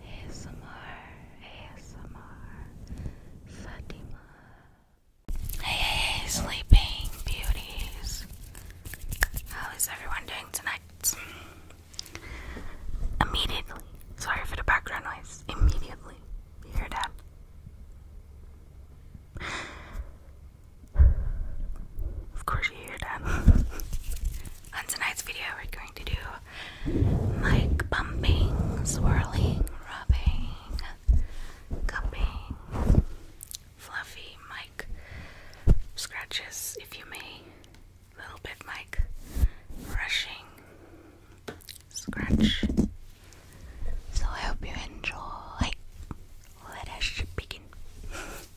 ASMR, ASMR, Fatima. Hey, sleeping beauties. How is everyone doing tonight? Immediately. Sorry for the background noise. Immediately. You hear that? Of course, you hear that. On tonight's video, we're going to do like bumping, swirling, rubbing, cupping, fluffy mic scratches, if you may, little bit mic brushing, scratch. So I hope you enjoy. Let us begin.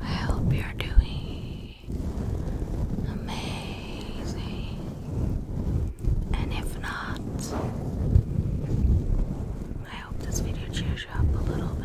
I hope you're doing amazing. And if not, I hope this video cheers you up a little bit.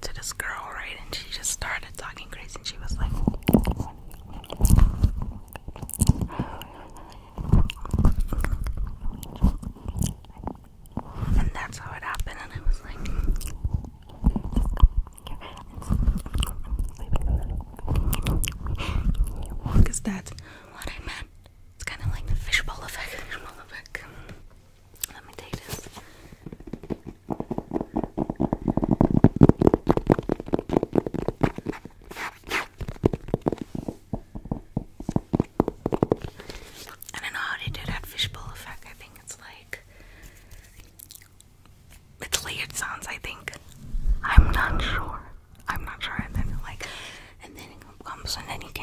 to this girl, right? And she just started talking crazy and she was like And that's how it happened and I was like because that's what I meant. It's kind of like the Fishbowl effect. Let me take this. I don't know how they do that fishbowl effect. I think it's like it's layered sounds. I think I'm not sure. I'm not sure. And then like, and then it comes, and then you can.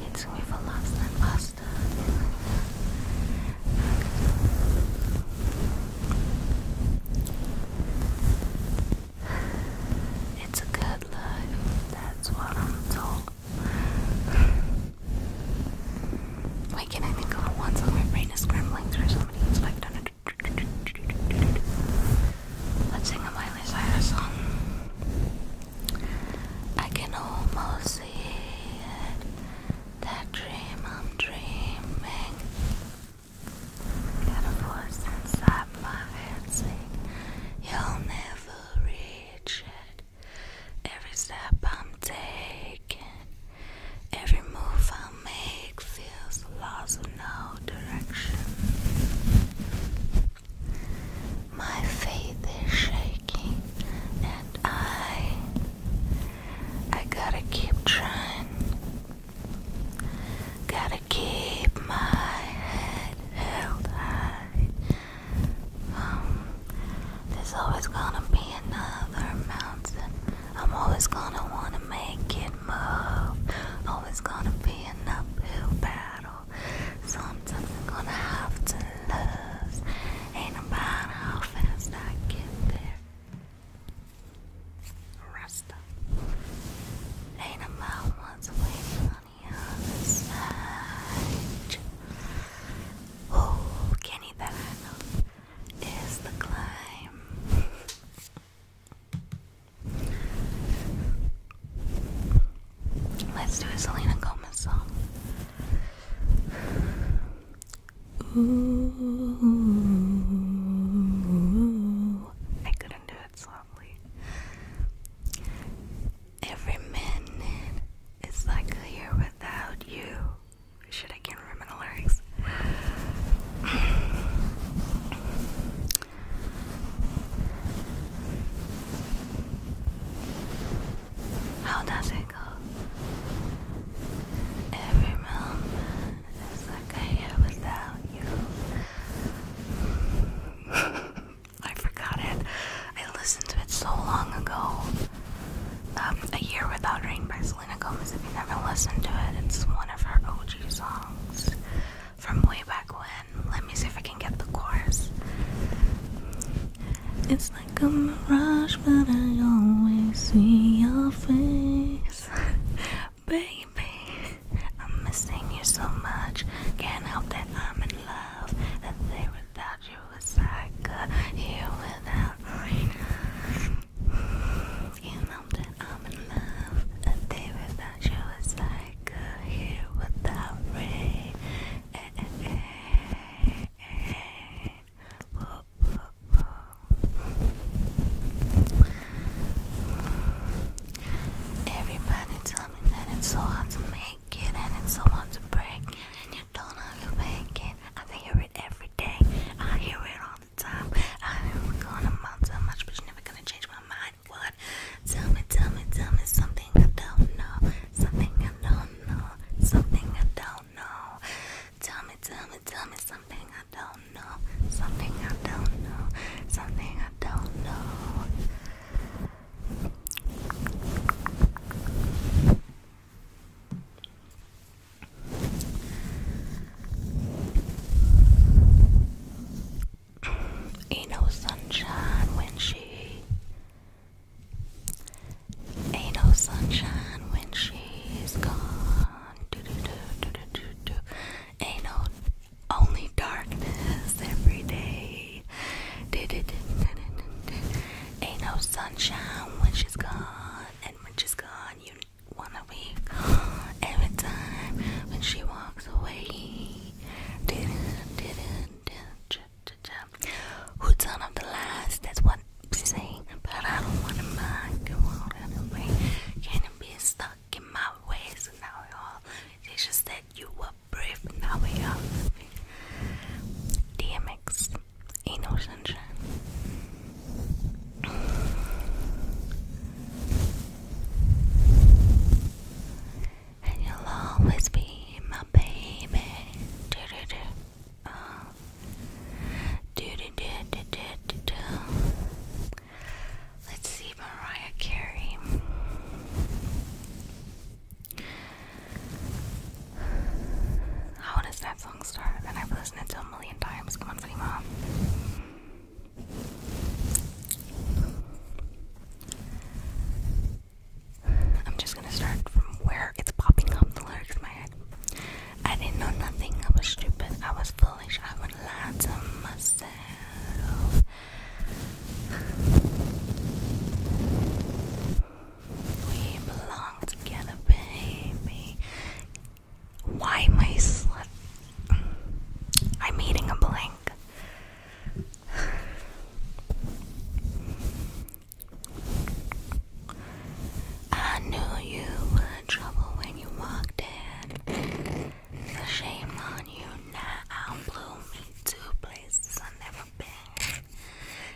It took me for longer than pasta. It's a good life, that's what I'm told. Why can't I think of one song? My brain is scrambling through somebody who's like, done it. Let's sing a Miley Cyrus song. I can almost see it. That dream I'm dreaming. Got a voice inside my head saying, You'll never reach it. Every step I'm taking, every move I make feels lost in no direction. My faith is shaking, and I, I gotta keep trying. Gotta keep my head held high. Um, there's always gonna be another mountain. I'm always gonna wanna make it move. Always gonna be an uphill battle. Sometimes I'm gonna have to lose. Ain't about how fast I get there. Rasta. Ain't about once waiting massage. Oh, Kenny, that is the climb. Let's do a Selena Gomez song. Ooh, I couldn't do it softly. Every minute is like a year without you. Shit, I can't remember the lyrics. How does it go? Every moment is like a year without you. I forgot it. I listened to it so long ago. Um, a Year Without Rain by Selena Gomez. If you never listened to it, it's one of her OG songs from way back when. Let me see if I can get the chorus. It's like a mirage, but I always see your face. Baby, I'm missing you so much. Can't help that I'm in love. That day without you was like here without rain. You know I'm in love. A day without you is like here without rain. Everybody tell me that it's so hard to make make it and it's to break and you don't know how to I hear it every day. I hear it all the time. I'm gonna amount to much, but you're never gonna change my mind. What? Tell me, tell me, tell me something I don't know. Something I don't know. Something I don't know. Tell me, tell me, tell me something I don't know. Something I don't know. Something I don't know. Ain't no sunshine when she Ain't no sunshine when she's gone. Do do do do do do do. Ain't no only darkness every day. Ain't no sunshine when she's gone, and when she's gone, you wanna weep every time when she walks away. Who done up the last? That's what i saying, but I don't wanna mind. Can't be stuck in my ways, now all just stay you were brave now enough. DMX, ain't And you'll always be my baby. Do do uh, do do do do do do do. Let's see Mariah Carey. How does that song start? And I've listened it a million times. Come on, Selima. I'm just gonna start from where it's popping up the lyrics in my head. I didn't know nothing, I was stupid, I was foolish, I would lie to myself. We belong together, baby. Why am I slut? I'm eating a blank. I knew you were trouble when you walked in. The shame on you now I blew me to places I never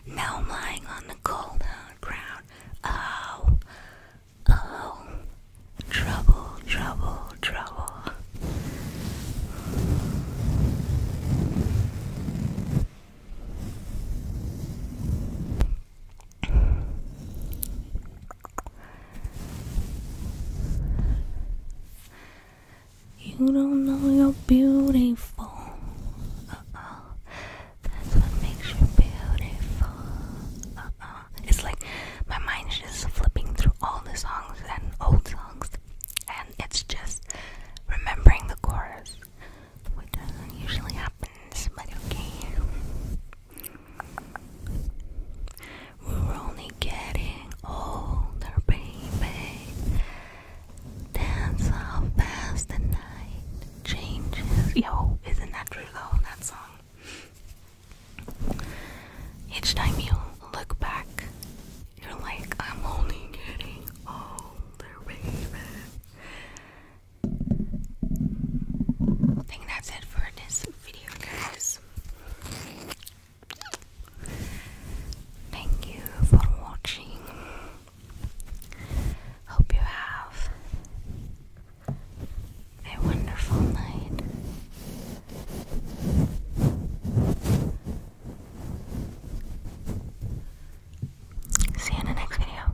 now I'm lying on the cold ground. Oh, oh, trouble, trouble, trouble. You don't know you're beautiful. Uh-uh. That's what makes you beautiful. Uh-uh. It's like my mind is just flipping through all the songs and old songs, and it's just remembering the chorus, which doesn't usually happens, but okay. We're only getting older, baby. That's how fast the night changes. Yo, isn't that true though, that song? Each time you look back, you're like, I'm only getting older, baby. I think that's it for this video, guys. Thank you for watching. Hope you have a wonderful night. See you in the next video.